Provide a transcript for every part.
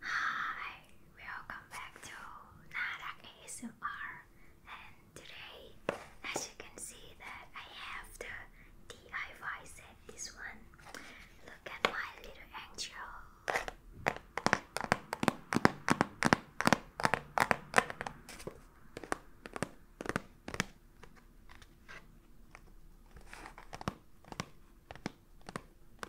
Hi, welcome back to Narak ASMR and today as you can see that I have the DIY set this one. Look at my little angel.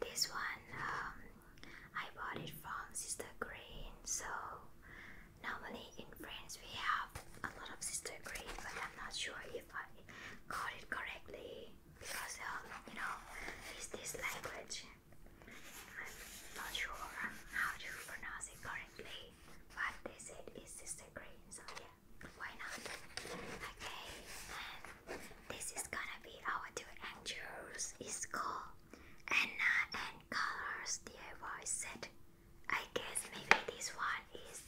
this one um, I bought it from Sister Green. So normally in France we have a lot of Sister Green, but I'm not sure if I got it correctly because um, you know it's this language. I'm not sure how to pronounce it correctly, but they said it's sister green, so yeah, why not? Okay, and this is gonna be our two angels. It's called Anna and Colors DIY set. I guess maybe this one is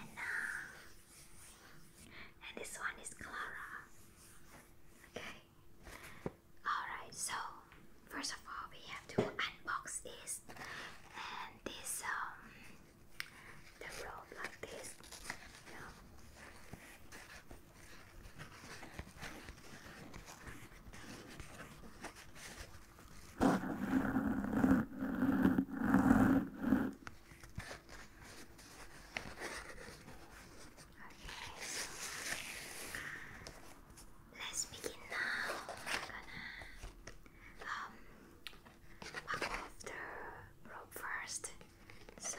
Anna and this one is Clara. Okay. Alright, so first of all, we have to unbox this and this, um, the rope like this let's begin now. I'm gonna um back off the rope first. So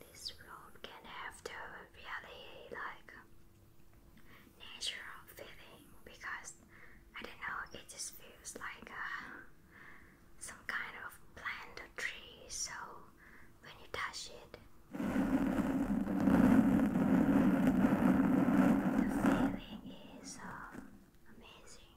This room can have the really like natural feeling because I don't know, it just feels like uh, some kind of plant or tree, so when you touch it, the feeling is um, amazing.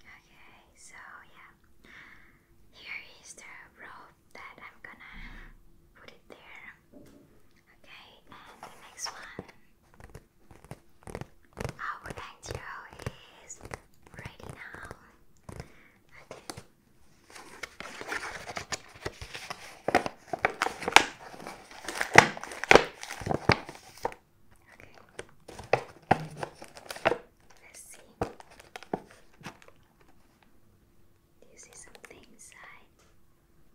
Okay, so yeah, here is the rope that I'm gonna put it there. Okay, and the next one. Our angel is ready now. Okay. Let's see. Do you see something inside?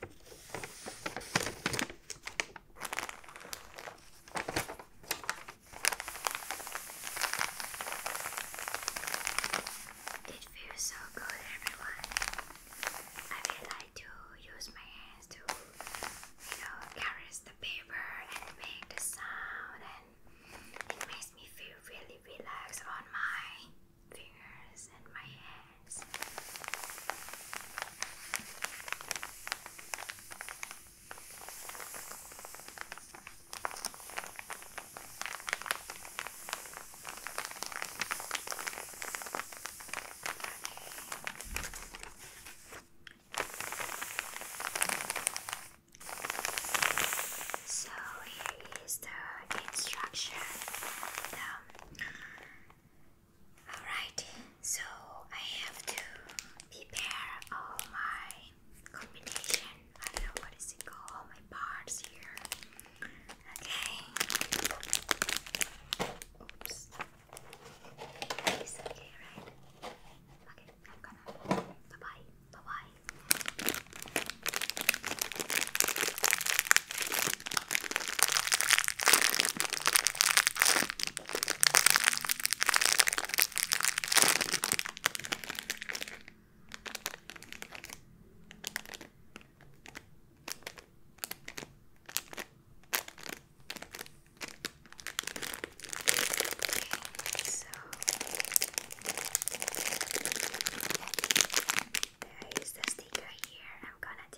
It feels so good, everyone. I really like to use my hands to, you know, caress the paper and make the sound, and it makes me feel really relaxed on my fingers and my hands. So here is the instruction. The Alright, so I have to prepare all my combination. I don't know what is it called, all my parts here. Okay. Oops. okay, right? Okay, bye bye. Bye bye. So there is the sticker here. I'm gonna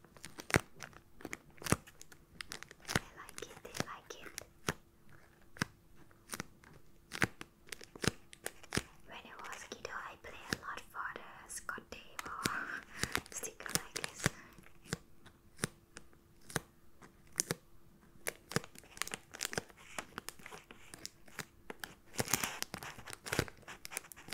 They like it, they like it. When I was a kiddo, I play a lot for the Scott tape sticker like this.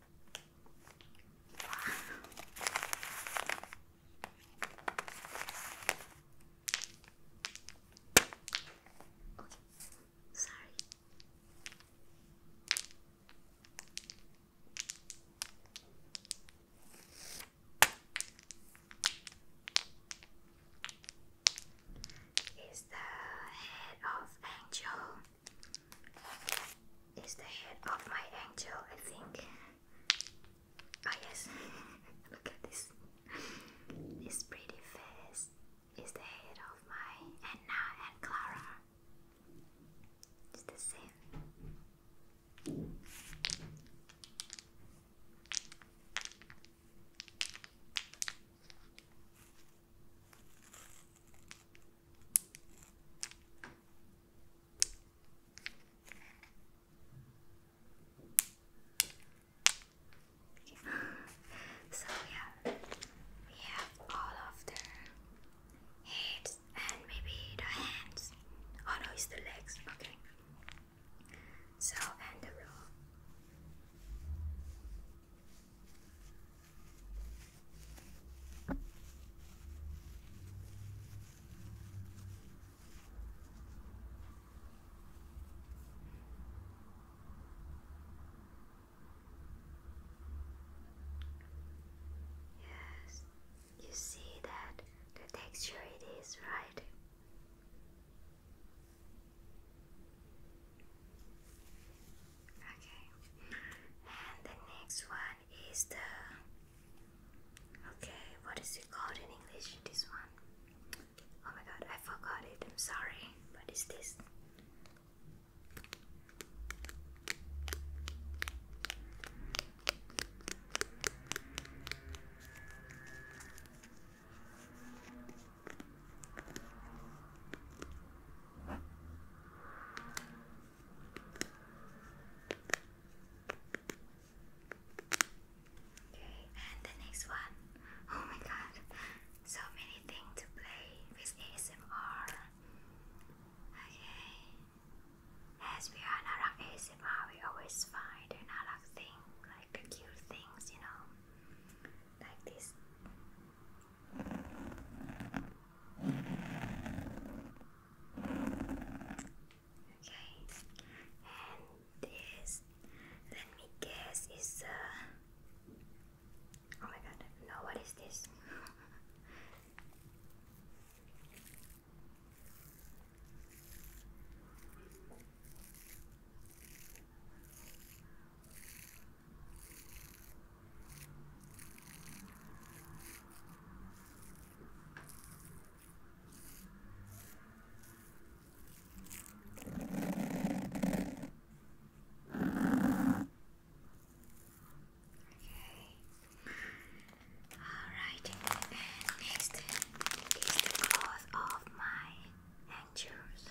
Okay, sorry. Is the head of angel it's the head of my angel, I think. Oh yes, look at this. This pretty face is the head of my Anna and Clara. It's the same. So yeah, we have all of the heads and maybe the hands. Oh no, it's the legs. Okay. So and the rope. Yes, you see that the texture it is, right? Okay, and the next one is the okay, what is it called in English? This one. Oh my god, I forgot it. I'm sorry. What is this? And the next one. Oh my god, so many things to play with ASMR. Okay. As we are not ASMR, we always find another thing, like cute things, you know. Like this. Okay, and this, let me guess, is uh, oh my god, no, what is this? Alright, and next is the of my anchors.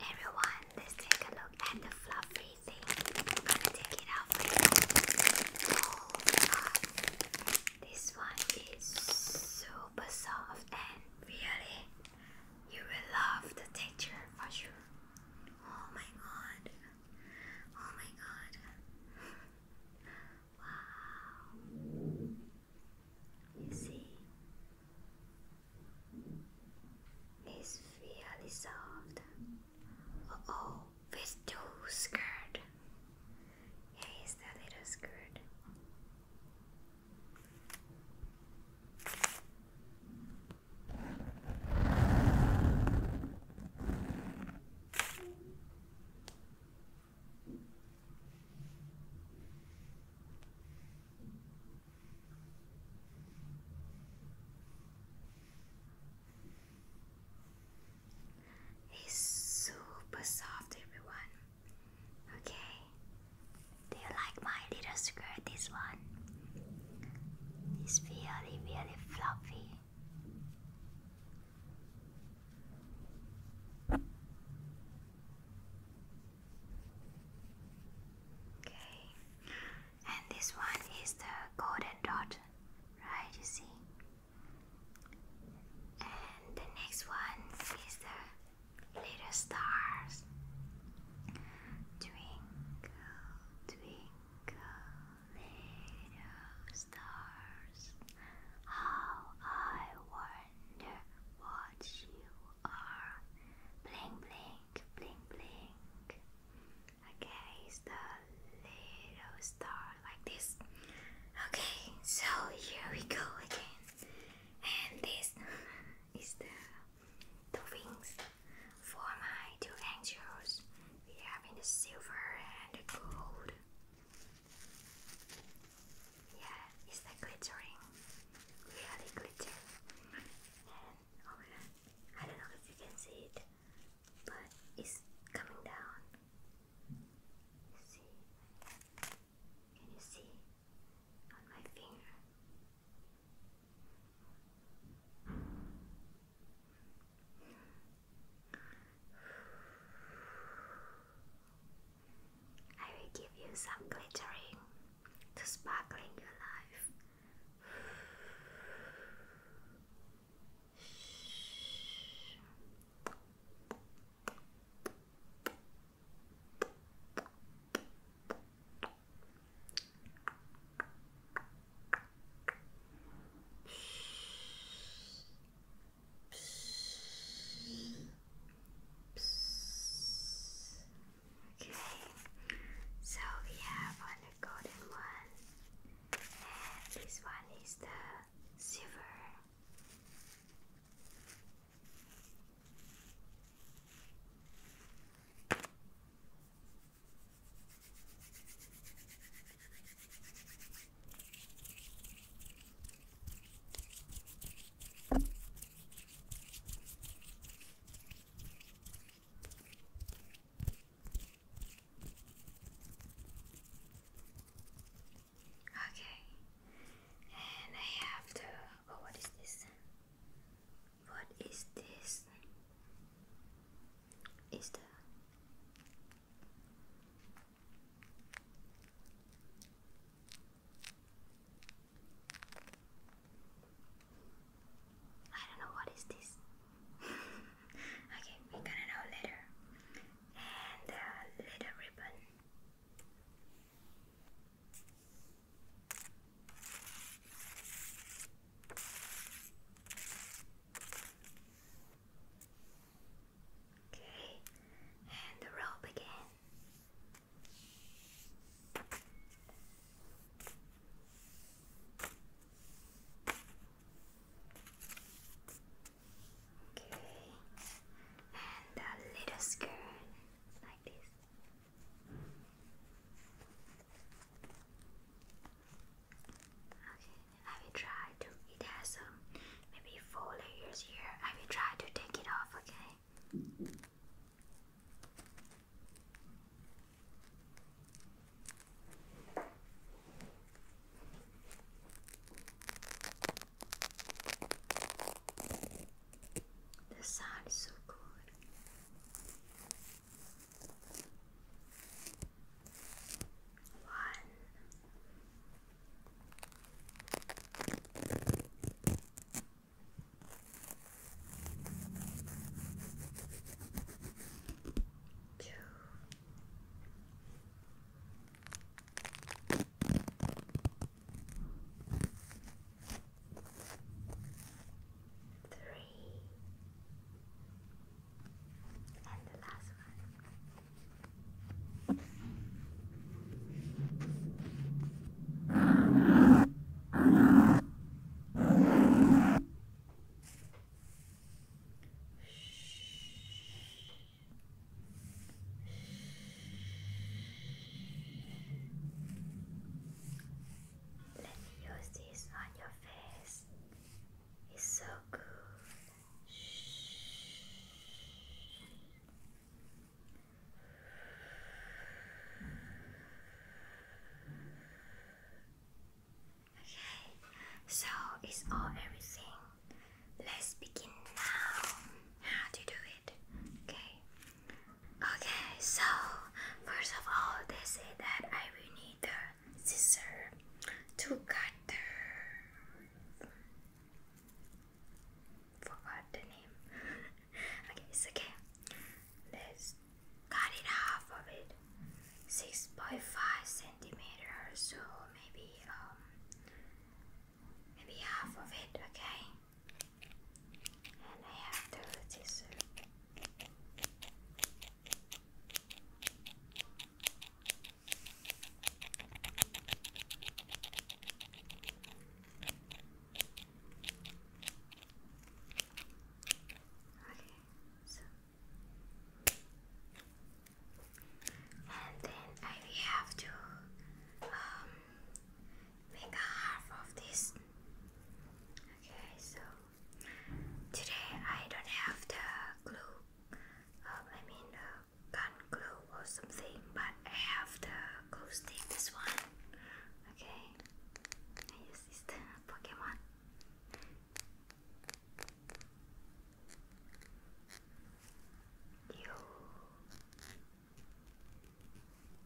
Everyone, let's take a look at the fluffy thing. I'm gonna take it out first. Oh my god. This one is super soft and really you will love the teacher for sure. Oh my god. Oh my god. wow. You see? He's really soft. Uh oh, he's too scared. Yeah, a little scared. It's super soft, everyone. Okay. Do you like my little skirt? This one. It's really, really fluffy. Okay. And this one is the golden dot, right? You see. And the next one is the little stars. Twinkle, twinkle, little stars, how I wonder what you are. Blink, blink, blink, blink. Okay, it's the little star like this. Okay, so here we go again. And this is the, two wings. For my two angels, we have in the silver and the gold. Yeah, it's the glittering. Really glitter. And oh, I don't know if you can see it, but it's coming down. See? Can you see on my finger? I will give you some glittering to sparkling your life. Okay, so we have one golden one, and this one is the silver. Okay, and I have to Oh, what is this? What is this? Is the I don't know what is this. okay, we're gonna know later. And the little ribbon. Okay, and rope again. Okay, and a little skirt Okay, I will try to. It has um, maybe four layers here. I will try to take it off. Okay. This sound is so good. One. Two three, and the last one. Shh. Shh. Let me use this on your face. It's so good. Okay, so it's all everything. Let's begin now. How to do it? Okay. Okay, so first of all, they say that I will need the scissors to cut the. Forgot the name. okay, it's okay. Let's cut it half of it. 6.5 centimeters, so maybe um maybe half of it. Okay and I have the tissue. Okay, so and then I have to um, make half of this. Okay, so today I don't have the glue. Um, I mean the gun glue or something, but I have the glue stick. This one. Okay, I Pokemon. You.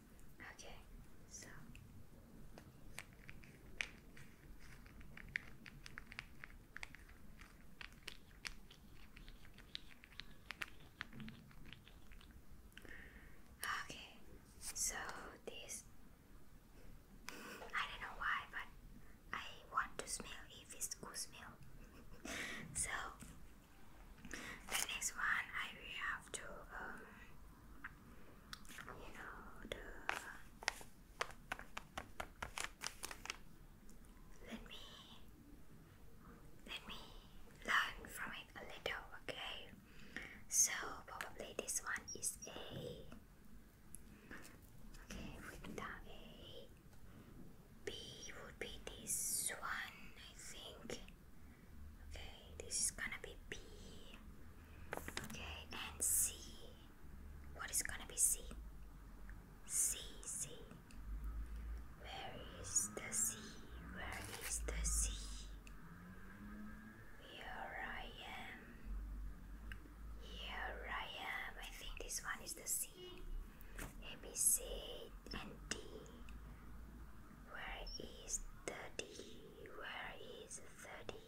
Okay, so Okay, so this I don't know why, but I want to smell if it's good smell. so the next one I will have to um, you know the let me let me learn from it a little okay so probably this one is a okay without a B would be this one I think Okay, this is gonna be B. Okay, and C. What is gonna be C? C, C. Where is the C? Where is the C? Here I am. Here I am. I think this one is the C. C. A, B, C, and D. Where is thirty? Where is thirty?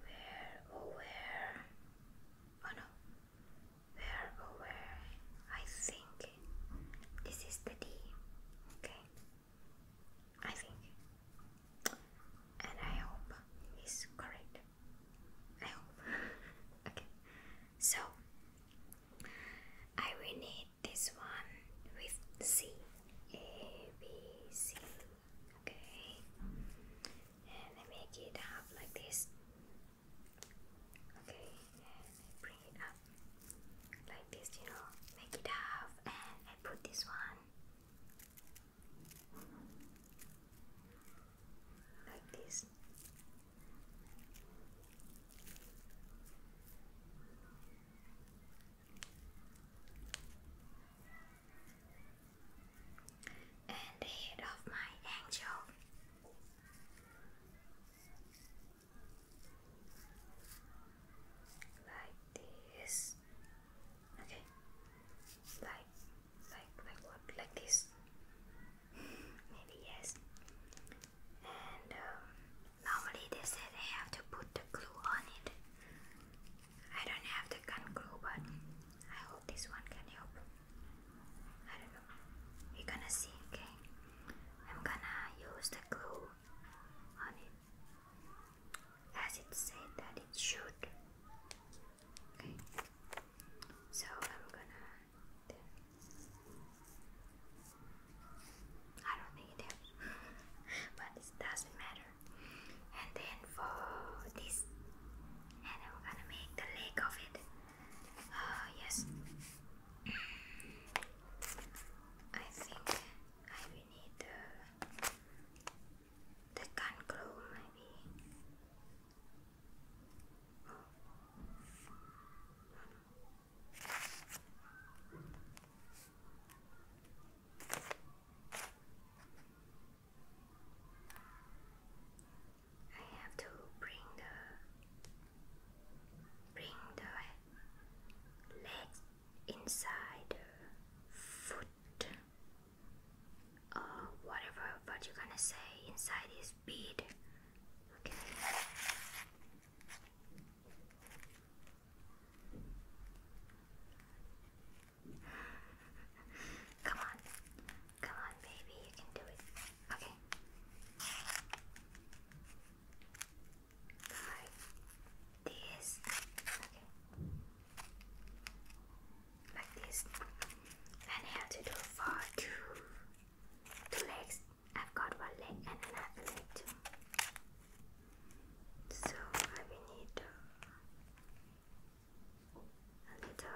Where oh where? Oh no. Where oh where? I think this is the D. Okay. I think. And I hope it's correct. I hope. okay. So I will need this one with C A B C okay and I make it up like this okay and I bring it up like this you know make it half and I put this one like this and the head of my angel. Like this. Okay. Like like like what? Like this. Maybe yes. And um, normally they said I have to put the glue on it. I don't have the gun glue, but I hope this one can help. I don't know. We're gonna see, okay? I'm gonna use the glue on it. As it said that it should. Okay. So I'm gonna I don't think it but it doesn't matter. And then for this, and I'm gonna make the leg of it. Uh, yes, I think I will need the the gun glue maybe. I have to bring the bring the legs inside the foot or uh, whatever what you're gonna say inside this bead. Okay. Come on. Come on, baby, you can do it. Okay. Five. This. Okay. Like this. And I have to do for legs. I've got one leg and an leg So I will need a little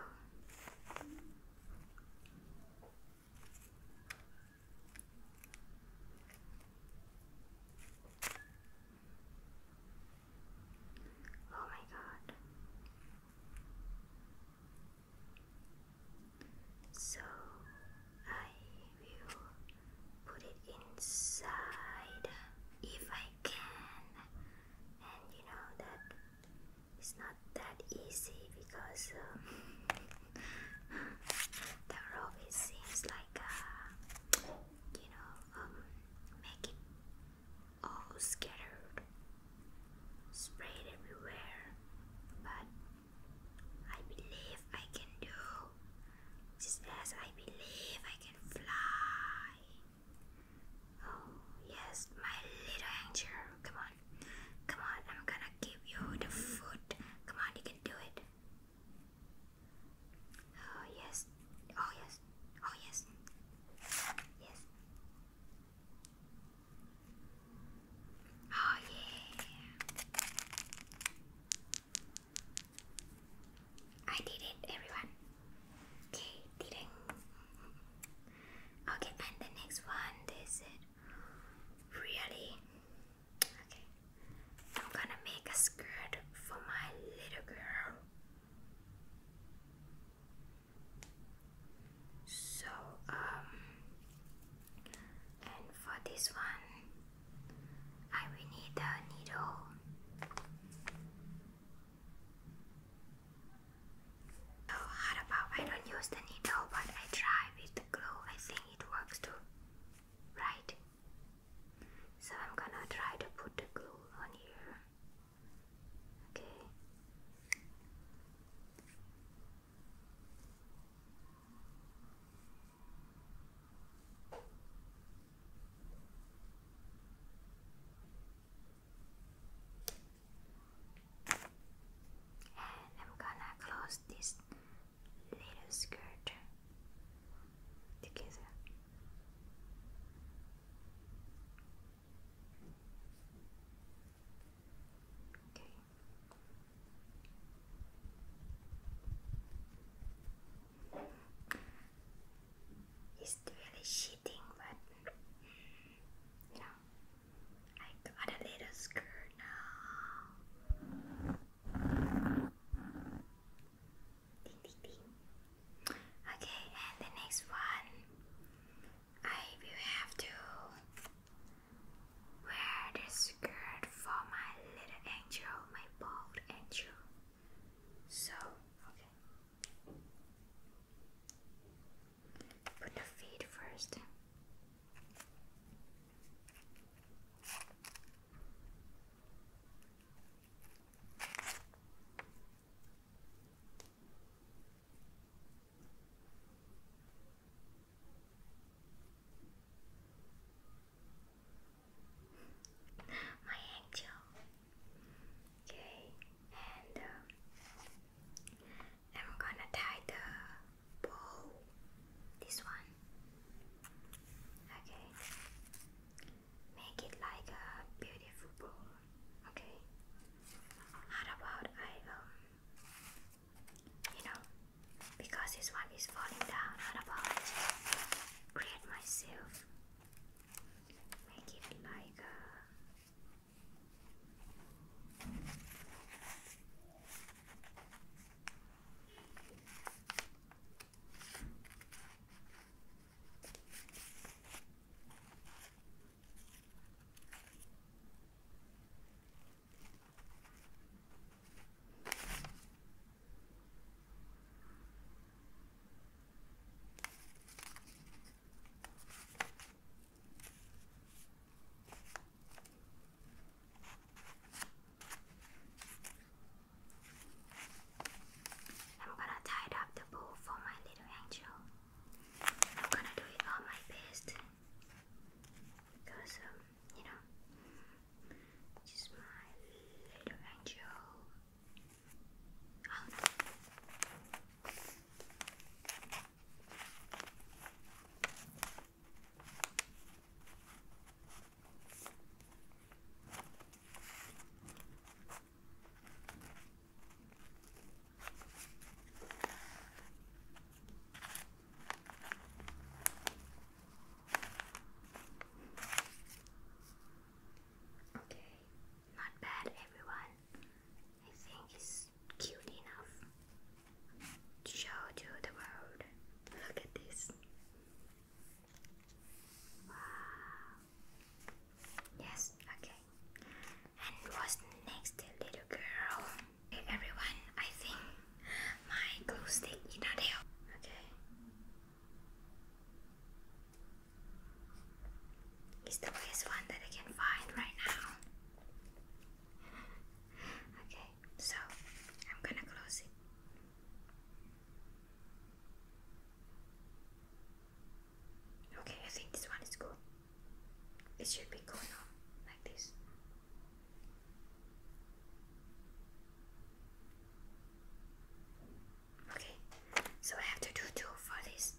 Oh my god. So I will put it inside if I can, and you know that it's not that easy because um, the rope it seems like uh, you know um, make it all scattered, sprayed everywhere, but I believe I can do just as I believe I can fly. Oh, yes, my little angel. Come on, come on, I'm gonna give you the food. Come on, you can do it. Oh, yes, oh, yes, oh, yes, yes. Oh, yeah. I did it, everyone. Okay, did Okay, and the next one, this is really. Okay, I'm gonna make a skirt for my little girl. So, um, and for this one I will need a needle oh how about I don't use the needle but I try with the glue I think it works too right so I'm gonna try to put the glue on here okay and I'm gonna close this little skirt together. Okay. It's really cheating, but no. I got a little skirt now. Ding, ding, ding. Okay, and the next one, I will have to Wear this skirt for my little angel, my bold angel. So, okay. Put the feet first. My angel. Okay, and um, I'm gonna tie the bow. This one. Okay. Make it like a beautiful bow. Okay. How about I um you know, because this one is falling down, what about create myself? Make it like uh, I'm gonna tie up the bow for my little angel. I'm gonna do it all my best because, um, you know, this is my little angel. Out. Okay, not bad, everyone. I think it's cute enough to show to the world. Look at this. Wow. Yes, okay. And what's the next little girl? everyone, I think my glue stick is not there. Okay. It's the best one that I can find right now. okay, so I'm gonna close it. Okay, I think this one is cool. It should be going on like this. Okay, so I have to do two for this.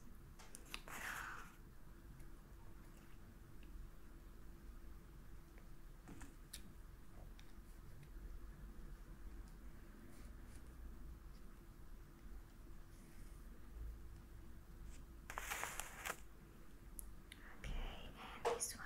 Okay, and this one.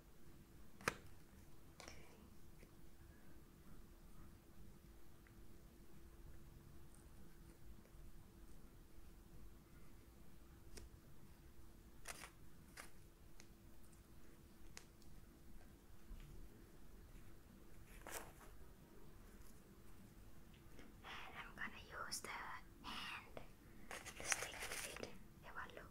Okay. And I'm gonna use the hand stick with Have a look.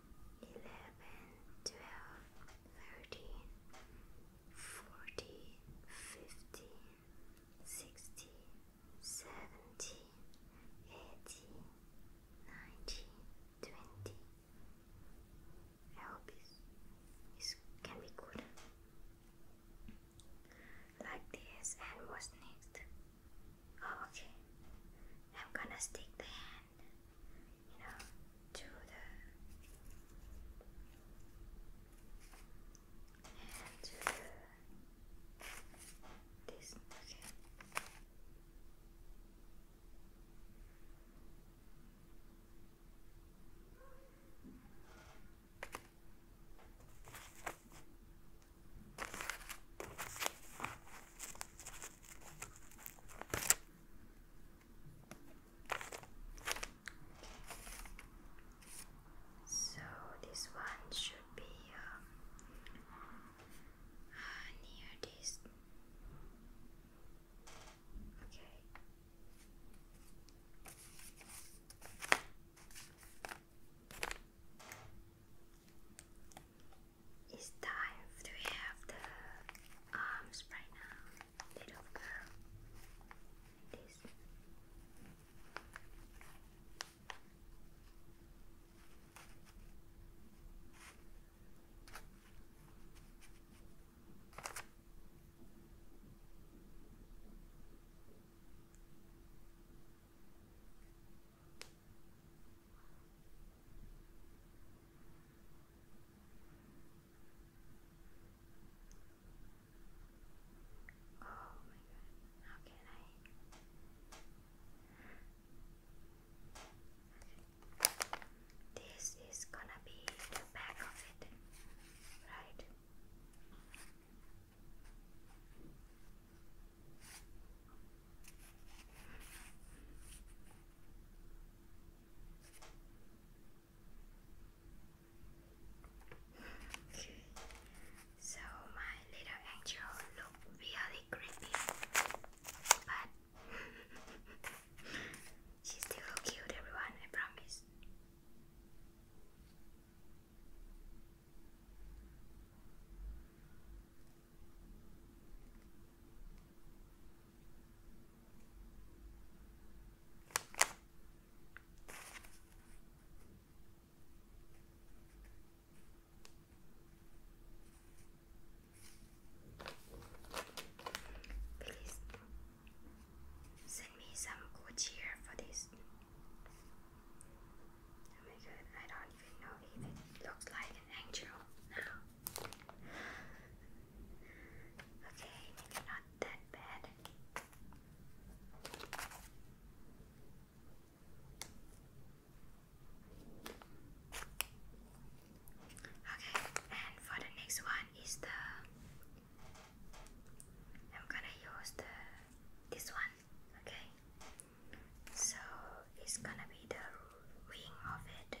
eleven, twelve, thirteen, fourteen, fifteen, sixteen, seventeen, eighteen, nineteen, twenty. I hope this can be good. Like this, and what's next? okay. I'm gonna stick the hand you know, do the and do this so this one should be uh, near this. Okay. It's time to have the arms right now, bit of curl like this. Okay. Oh my god, how can I? This is gonna be the back of it, right? So my little angel look really creepy, but she still look cute. Everyone, I promise. Please send me some good cheer for this. Oh my god, I don't even know it looks like an angel Okay, maybe not that bad. Okay, and for the next one is the I'm gonna use the this one, okay? So it's gonna be the wing of it.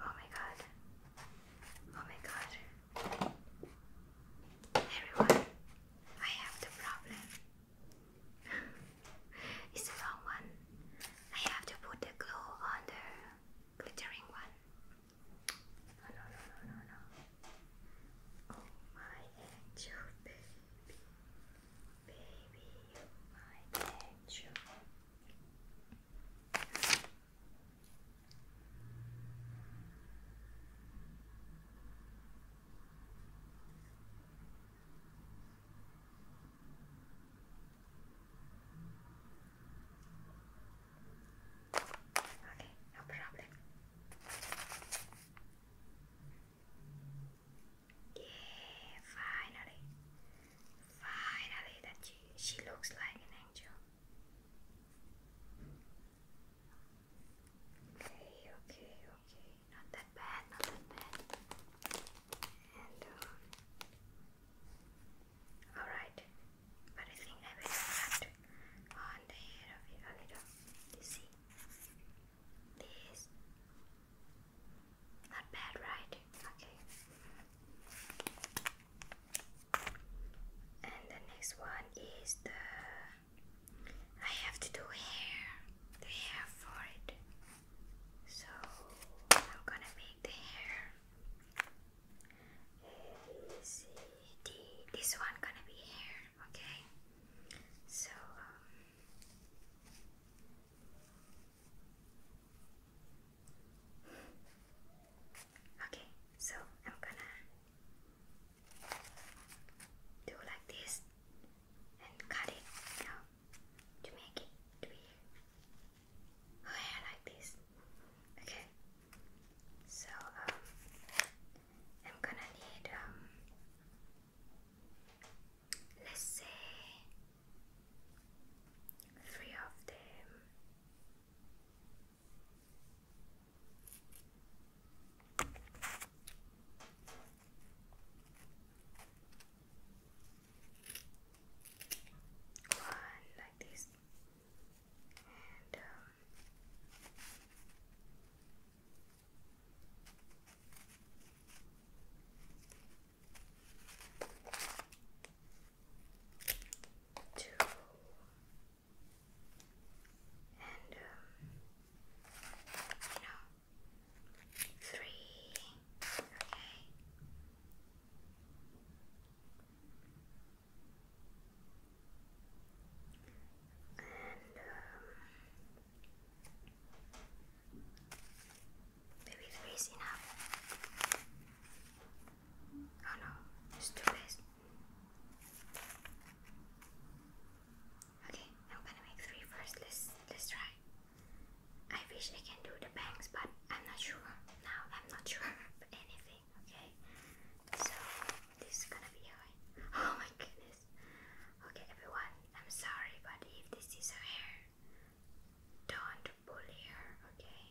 Oh my god. Oh my god. Everyone, I have the problem. it's the wrong one. I have to put the glue on the glittering one. No, no, no, no, no, Oh my angel, baby. Baby, you my angel. Okay, no problem. Yeah, finally finally that she, she looks like an angel. Okay, okay, okay. Not that bad, not that bad. And uh, alright. But I think I will cut on the hair of it a little. You see? This not bad, right? Okay. And the next one is the I have to do hair, the hair for it. So I'm gonna make the hair. A, C, D. This one gonna be hair, okay? So um, Okay, so I'm gonna do like this and cut it now to make it to be like this. Okay, so um, I'm gonna need um, let's say three of them. One like this, and um, two, and um, no, three, okay. And maybe three is enough. Oh no, it's Okay, I'm gonna make three first. Let's let's try. I wish I can do the bangs, but I'm not sure. Now I'm not sure anything. Okay, so this is gonna be hard. Oh my goodness. Okay, everyone, I'm sorry, but if this is her hair, don't bully her. Okay.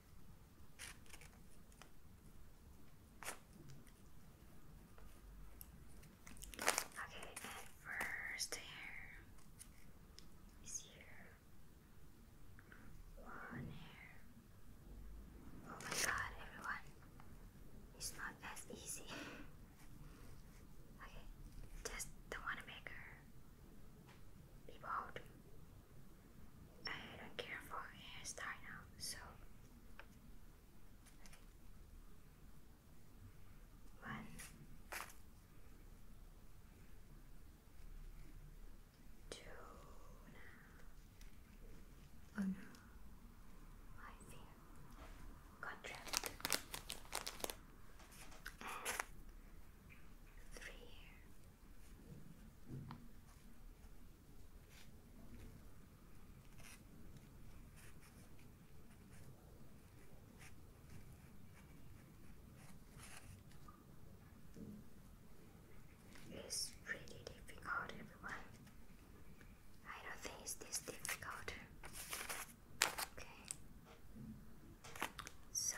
Okay, and first hair is here. One hair. Oh my god, everyone. It's not as easy. okay, just the one maker. Be bold. I don't care for hairstyle now, so one two now. Oh, three here. It's really difficult, everyone. I don't think it's this difficult. Okay. So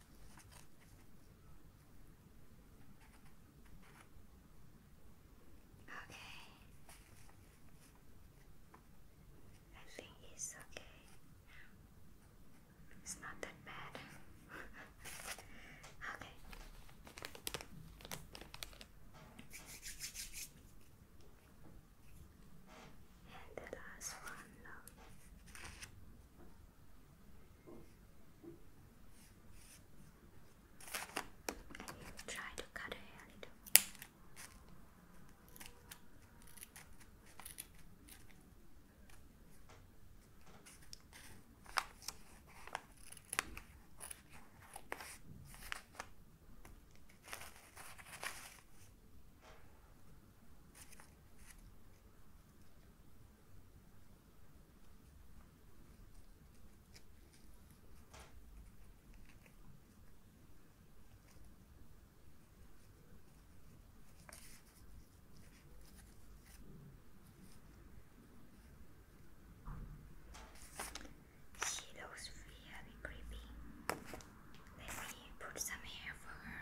Okay. I think it's okay. It's not that bad. okay. And the last one, um, Try to cut her hair a little. She looks really creepy. Let me put some hair for her.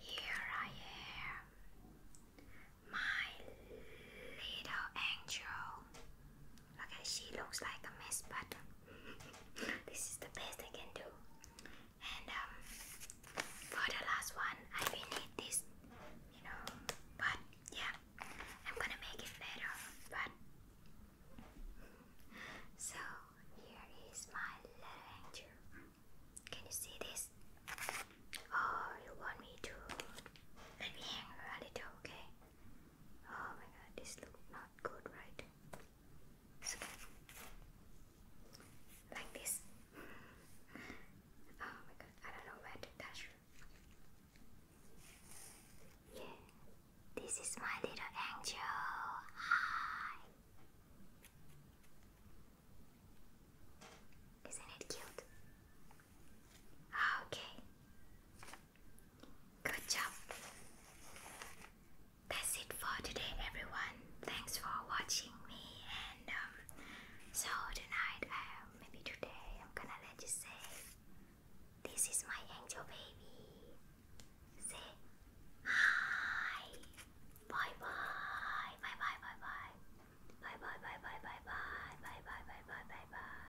Here I am, my little angel. Okay, she looks like a mess, but this is the best I can do. And um, for the last one, I will need this, you know. But yeah, I'm gonna make it better. But so here is my little angel. Can you see this? Oh, you want me to let me a little, okay? Oh my god, this looks not good, right? like this. oh my god, I don't know where to touch. Yeah, this is my little angel. Hi. Isn't it cute? Okay. Good job. That's it for today, everyone. Thanks for watching me. And um, so tonight, um, maybe today, I'm gonna let you say, "This is my angel baby." Say hi. Bye bye. Bye bye bye bye. Bye bye bye bye bye bye bye bye bye bye bye bye